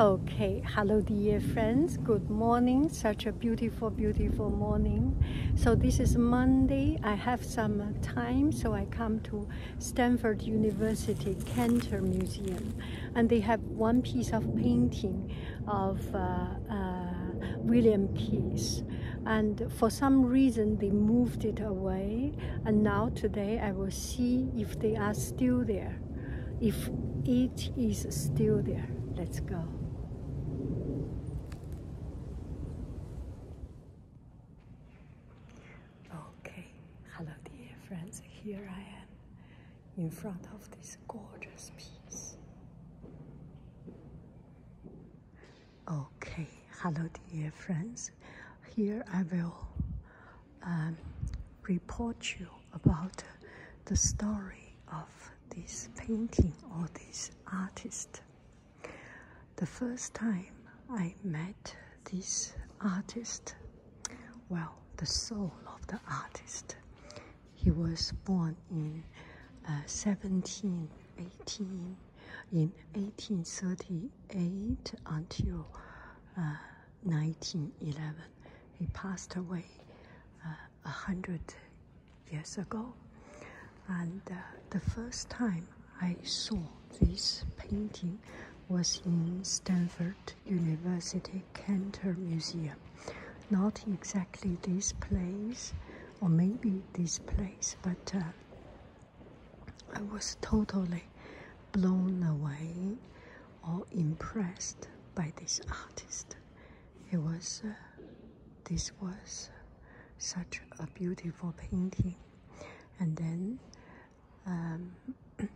Okay, hello dear friends. Good morning. Such a beautiful, beautiful morning. So this is Monday. I have some time, so I come to Stanford University Cantor Museum, and they have one piece of painting of uh, uh, William Keys. And for some reason, they moved it away. And now today, I will see if they are still there. If it is still there, let's go. Okay, hello dear friends, here I am in front of this gorgeous piece. Okay, hello dear friends, here I will um, report you about the story of this painting or this artist. The first time I met this artist, well, the soul of the artist, he was born in 1718, uh, in 1838 until uh, 1911. He passed away uh, a hundred years ago, and uh, the first time I saw this painting was in Stanford University Cantor Museum. Not exactly this place, or maybe this place, but uh, I was totally blown away or impressed by this artist. It was, uh, this was such a beautiful painting. And then um,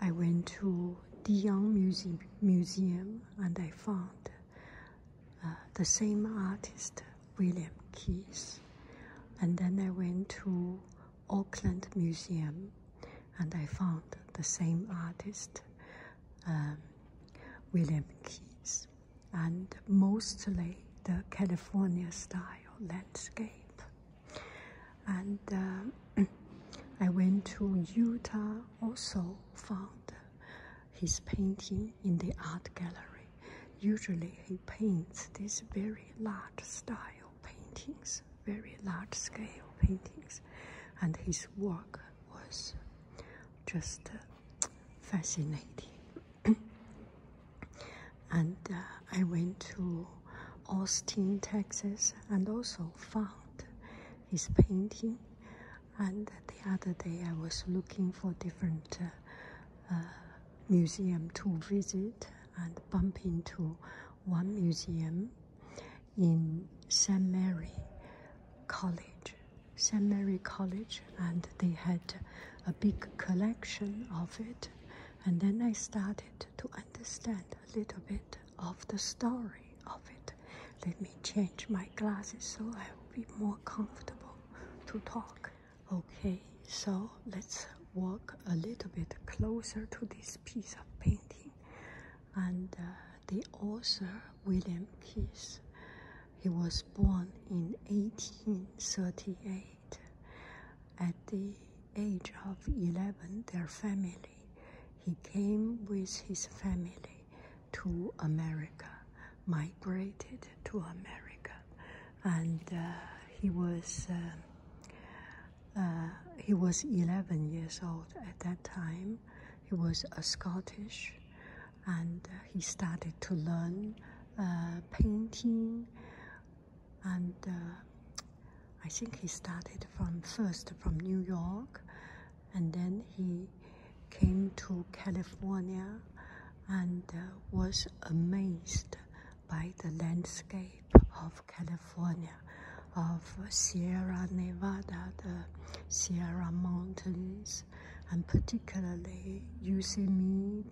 I went to Dion Museum, Museum and I found uh, the same artist, William Keys. And then I went to Auckland Museum and I found the same artist, um, William Keys, and mostly the California style landscape. And uh, I went to Utah, also found his painting in the art gallery. Usually he paints this very large style paintings, very large scale paintings, and his work was just uh, fascinating. and uh, I went to Austin, Texas, and also found his painting. And the other day, I was looking for different uh, museum to visit, and bump into one museum in St. Mary College. St. Mary College, and they had a big collection of it. And then I started to understand a little bit of the story of it. Let me change my glasses so I will be more comfortable to talk. Okay, so let's walk a little bit closer to this piece of painting. And uh, the author, William Keith, he was born in 1838. At the age of 11, their family, he came with his family to America, migrated to America and uh, he was um, uh, he was 11 years old at that time. He was a Scottish, and uh, he started to learn painting, and I think he started from first from New York, and then he came to California and was amazed by the landscape of California, of Sierra Nevada, the Sierra Mountains, and particularly using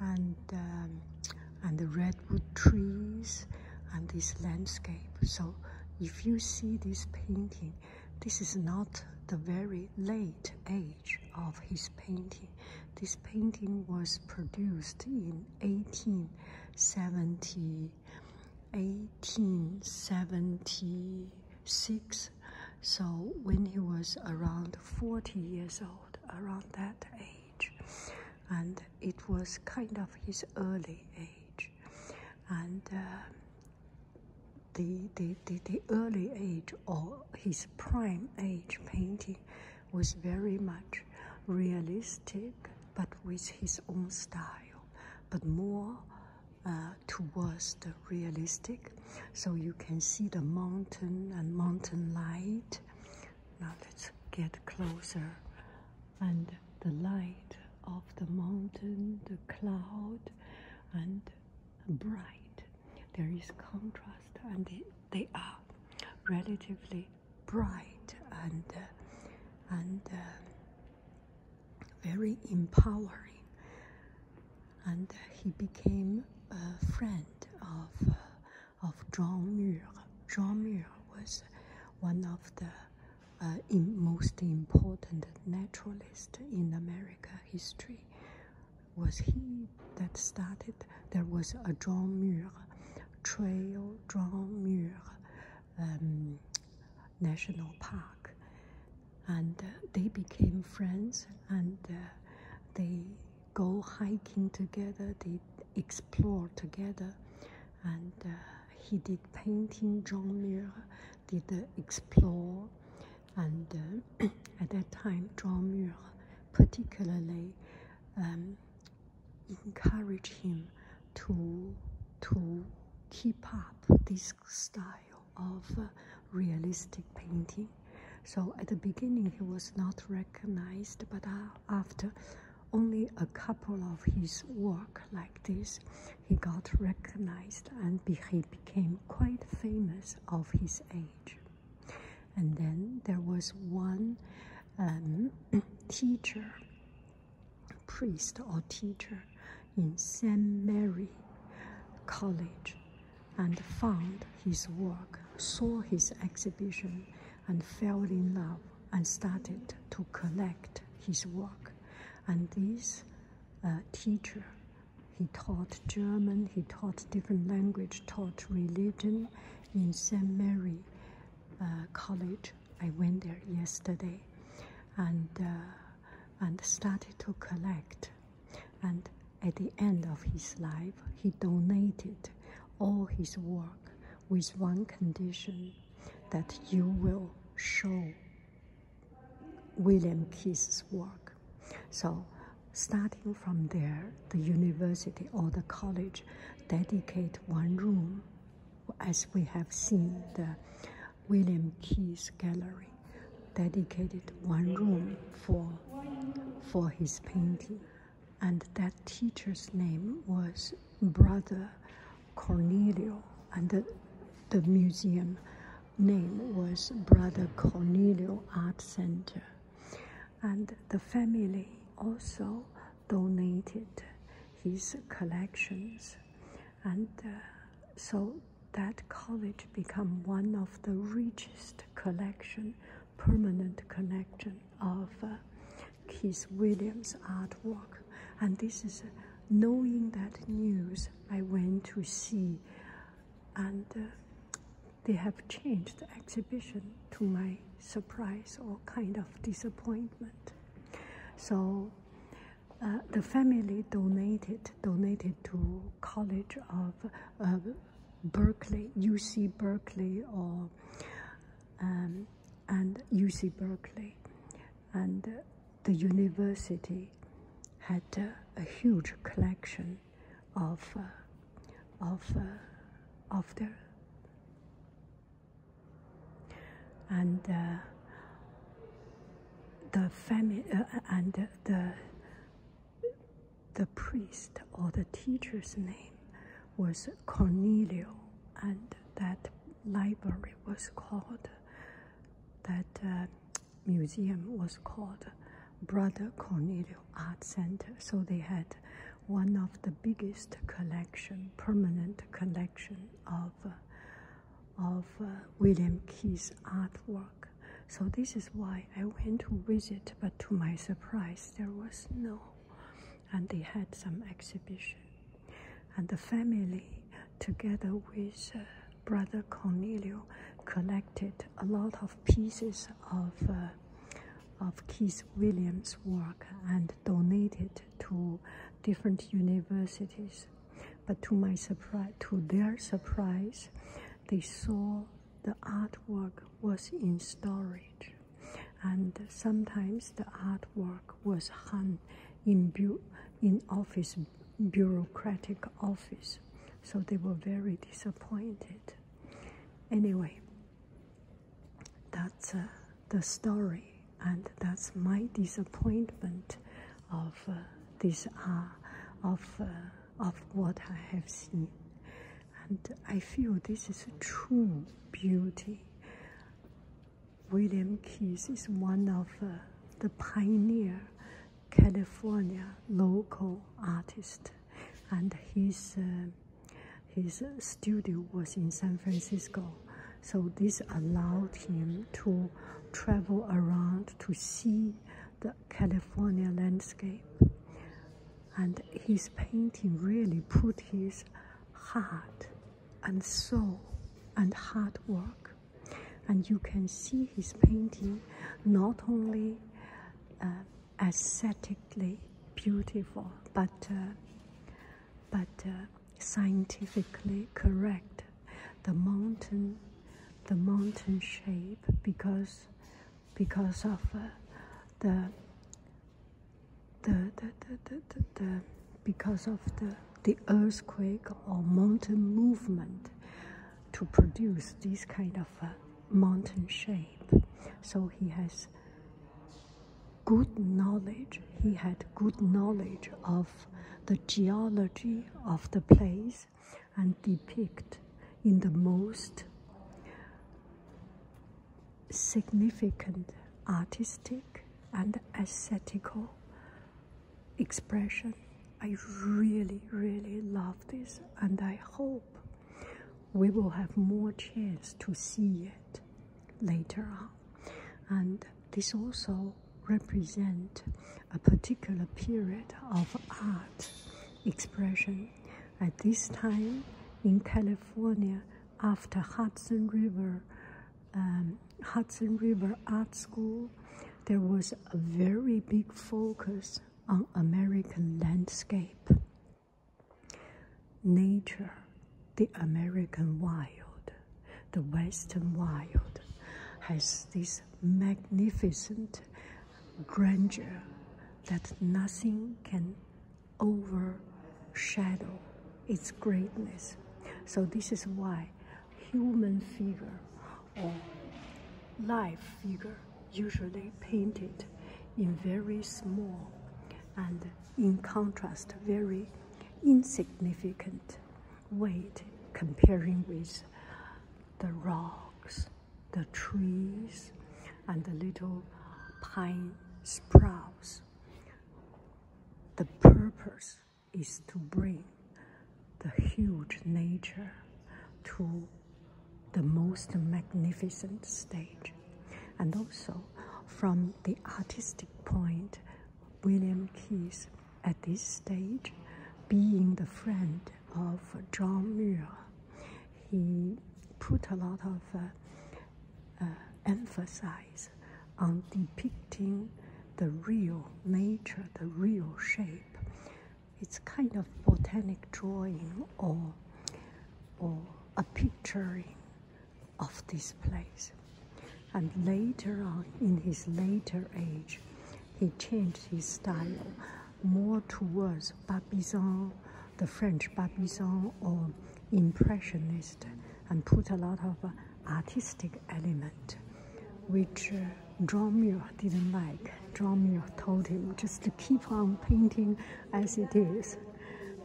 and um, and the redwood trees and this landscape. So if you see this painting, this is not the very late age of his painting. This painting was produced in 1870, 1876. So when he was around 40 years old, around that age, and it was kind of his early age, and. Uh, the, the, the, the early age of his prime age painting was very much realistic but with his own style, but more uh, towards the realistic. So you can see the mountain and mountain light. Now let's get closer. And the light of the mountain, the cloud, and bright there is contrast and they, are relatively bright and uh, and uh, very empowering and uh, he became a friend of of Jean Muir. John Muir was one of the most important naturalist in America history was he that started. There was a John Muir, Trail John Muir um, National Park, and uh, they became friends and uh, they go hiking together, they explore together, and uh, he did painting. John Muir did explore and uh, at that time, Zhao particularly um, encouraged him to to keep up this style of uh, realistic painting. So at the beginning, he was not recognized, but uh, after only a couple of his work like this, he got recognized and he became quite famous of his age. And then there was one um, teacher, priest or teacher in St. Mary College and found his work, saw his exhibition, and fell in love and started to collect his work. And this uh, teacher he taught German, he taught different language, taught religion in St. Mary uh, College. I went there yesterday and, uh, and started to collect. And at the end of his life, he donated all his work with one condition that you will show William Keith's work. So, starting from there, the university or the college dedicated one room, as we have seen the William Keith's gallery, dedicated one room for for his painting, and that teacher's name was Brother Cornelio, and the, the museum name was Brother Cornelio Art Center. And the family also donated his collections. And uh, so that college became one of the richest collection, permanent collection of uh, Williams artwork. And this is knowing that news, I went to see and uh, they have changed the exhibition to my surprise or kind of disappointment. So uh, the family donated donated to College of Berkeley, UC Berkeley, or um, and UC Berkeley, and uh, the university had uh, a huge collection of uh, of uh, of the and the family and the the priest or the teacher's name was Cornelio, and that library was called that museum was called Brother Cornelio Art Center. So they had one of the biggest collection, permanent collection of of uh, William Key's artwork. So this is why I went to visit, but to my surprise, there was no, and they had some exhibition, and the family together with. Uh, Brother Cornelio collected a lot of pieces of, uh, of Keith Williams' work and donated to different universities. But to my surprise, to their surprise, they saw the artwork was in storage, and sometimes the artwork was hung in, in office bureaucratic office. So they were very disappointed. Anyway, that's uh, the story, and that's my disappointment of uh, this art, uh, of, uh, of what I have seen. And I feel this is true beauty. William Keys is one of the pioneer California local artist, and his uh, his studio was in San Francisco. So this allowed him to travel around to see the California landscape. And his painting really put his heart and soul and hard work and you can see his painting not only uh, aesthetically beautiful but uh, but uh, scientifically correct the mountain the mountain shape because because of the, the, the, the, the because of the the earthquake or mountain movement to produce this kind of uh, mountain shape. So he has good knowledge, he had good knowledge of the geology of the place and depict in the most significant artistic and aesthetical expression. I really, really love this, and I hope we will have more chance to see it later on. And this also represent a particular period of art expression. At this time in California, after Hudson River um, Hudson River Art School, there was a very big focus on American landscape, nature, the American wild, the Western wild has this magnificent grandeur that nothing can overshadow its greatness. So this is why human figure or life figure, usually painted in very small and in contrast very insignificant weight comparing with the rocks, the trees, and the little pine sprouts. The purpose is to bring the huge nature to the most magnificent stage. And also, from the artistic point, William Keys at this stage, being the friend of John Muir, he put a lot of uh, uh, emphasis on depicting the real nature, the real shape. It's kind of botanic drawing or, or a picturing of this place. And later on, in his later age, he changed his style more towards Barbizon, the French Barbizon or Impressionist, and put a lot of artistic element, which uh, Dromio didn't like. Dromio told him just to keep on painting as it is.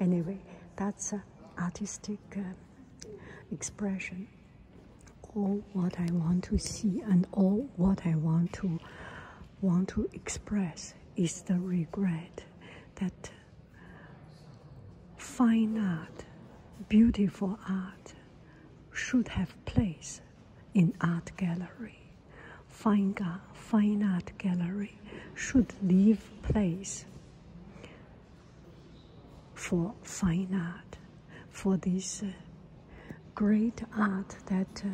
Anyway, that's uh, artistic uh, expression. All what I want to see and all what I want to want to express is the regret that Fine art, beautiful art, should have place in art gallery. Fine, fine art gallery should leave place for fine art, for this uh, great art that uh,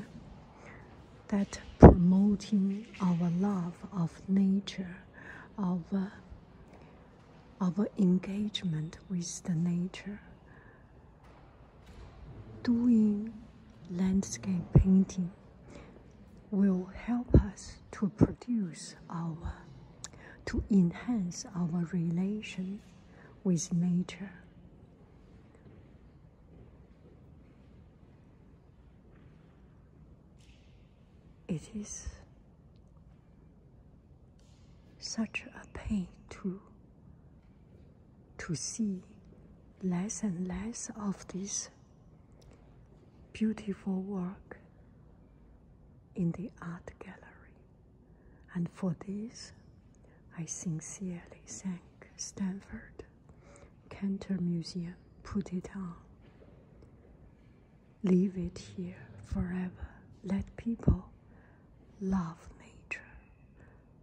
that promoting our love of nature, of uh, our engagement with the nature. Doing landscape painting will help us to produce our, to enhance our relation with nature. It is such a pain to to see less and less of this beautiful work in the art gallery. And for this, I sincerely thank Stanford Cantor Museum put it on. Leave it here forever. Let people love nature,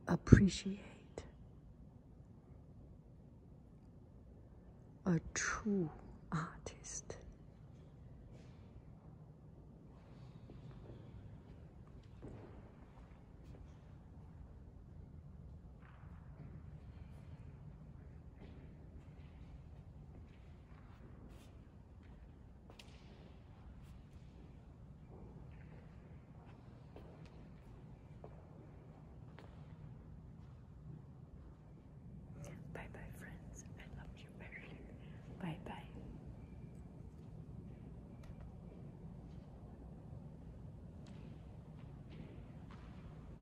appreciate a true artist. Bye bye, friends. I love you very much. Bye bye.